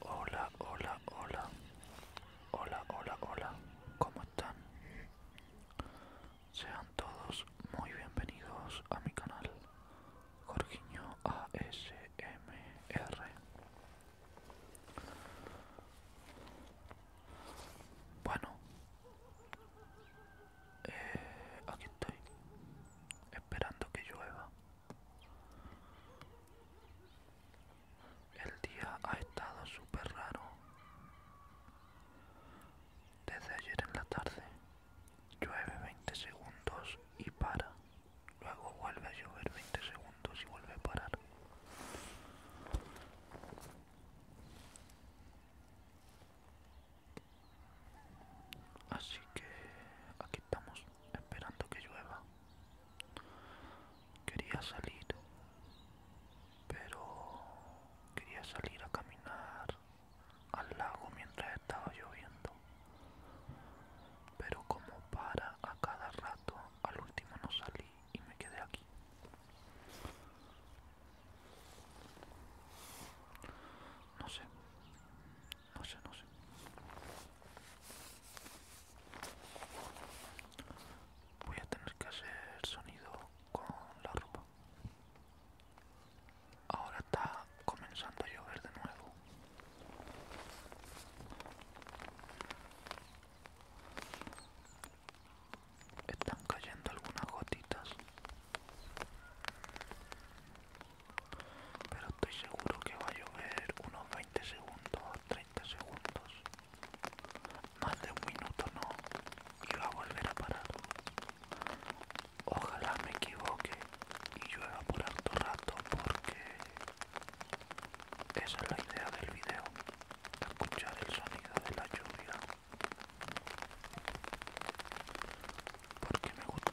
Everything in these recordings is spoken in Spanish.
Hola, hola, hola. Hola, hola, hola. ¿Cómo están? Sean todos muy bienvenidos a mi canal. Jorginho ASMR. Bueno. Eh, aquí estoy. Esperando que llueva. El día ha estado súper raro. Desde ayer en la tarde llueve 20 segundos y para. Luego vuelve a llover 20 segundos y vuelve a parar. Así que estamos esperando que llueva. Quería salir, pero quería salir a caminar al lago mientras estaba lloviendo. Pero como para a cada rato, al último no salí y me quedé aquí. No sé, no sé, no sé. Voy a tener que hacer sonido con la ropa. Ahora está comenzando a llover de nuevo. Están cayendo algunas gotitas pero estoy seguro que va a llover unos 20 segundos 30 segundos más de un minuto no y va a volver a parar ojalá me equivoque y llueva por harto rato porque esa es la idea del video escuchar el sonido de la lluvia porque me gusta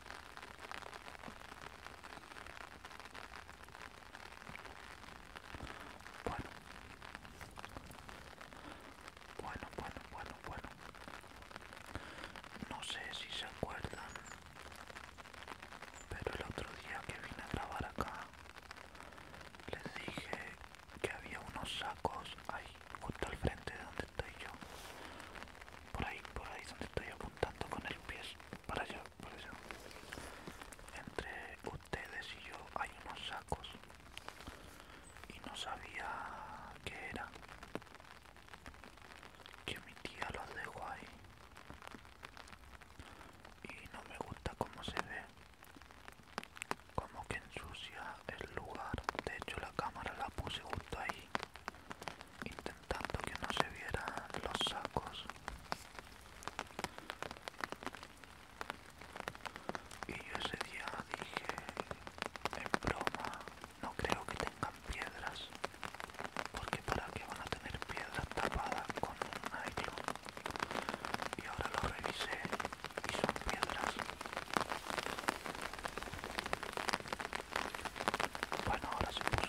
Bueno. Bueno, bueno, bueno, bueno. No sé si se acuerdan, pero el otro día que vine a grabar acá, les dije que había unos sacos ahí, justo al frente de donde y yo. Por ahí, por ahí donde estoy apuntando con el pie. Para allá, por allá. Entre ustedes y yo hay unos sacos. Y no sabía qué era. Que mi tía los dejó ahí. Y no me gusta cómo se ve. Como que ensucia el lugar. De hecho la cámara la puse justo ahí intentando que no se vieran los sacos y yo ese día dije en broma no creo que tengan piedras porque para qué van a tener piedras tapadas con un nylon y ahora lo revisé y son piedras bueno, ahora se puso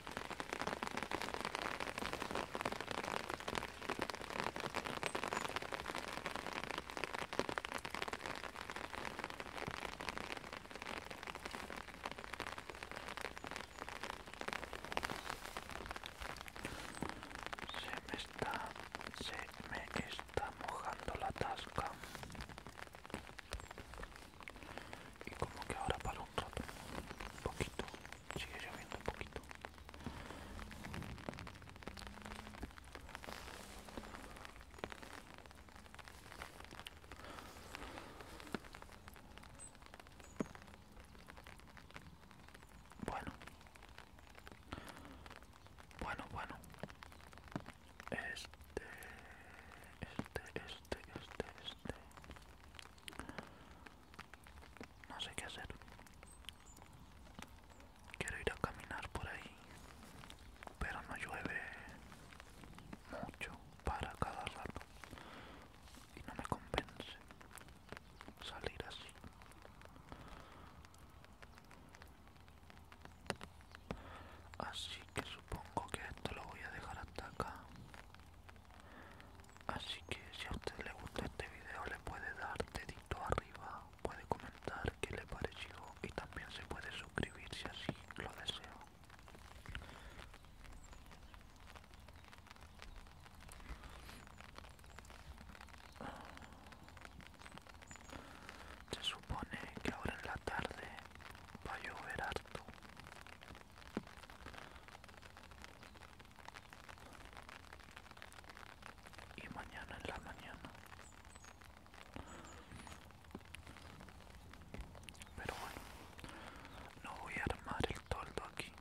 Se me está, se me está mojando la tasca y como que ahora para un rato un poquito sigue lloviendo un poquito bueno bueno bueno este este este este este no sé qué hacer. Quiero ir a caminar por ahí, pero no llueve mucho para cada rato y no me convence salir así. Así que supongo que esto lo voy a dejar hasta acá. Así que si a usted le gusta este video le puede dar dedito arriba, puede comentar qué le pareció y también se puede suscribir si así lo desea. Se supone que ahora en la tarde va a llover harto y mañana en la mañana pero bueno no voy a armar el toldo aquí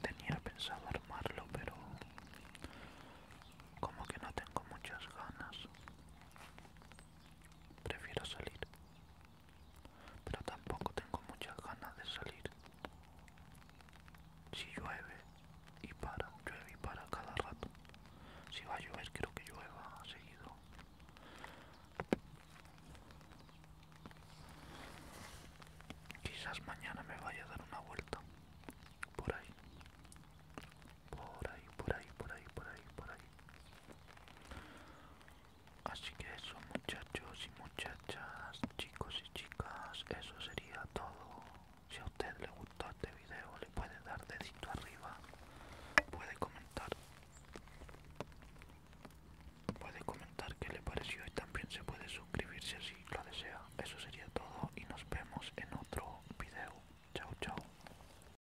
tenía pensado armarlo pero como que no tengo muchas ganas Prefiero salir. Pero tampoco tengo muchas ganas de salir. Si llueve y para, llueve y para cada rato. Si va a llover creo que llueva seguido. Quizás mañana me vaya a dar una vuelta por ahí por ahí, por ahí, por ahí, por ahí, por ahí. Así que eso muchachos y muchachas, chicos y chicas, eso sería todo. Si a usted le gustó este video le puede dar dedito arriba, puede comentar, puede comentar qué le pareció y también se puede suscribir si así lo desea. Eso sería todo y nos vemos en otro video. Chao, chao.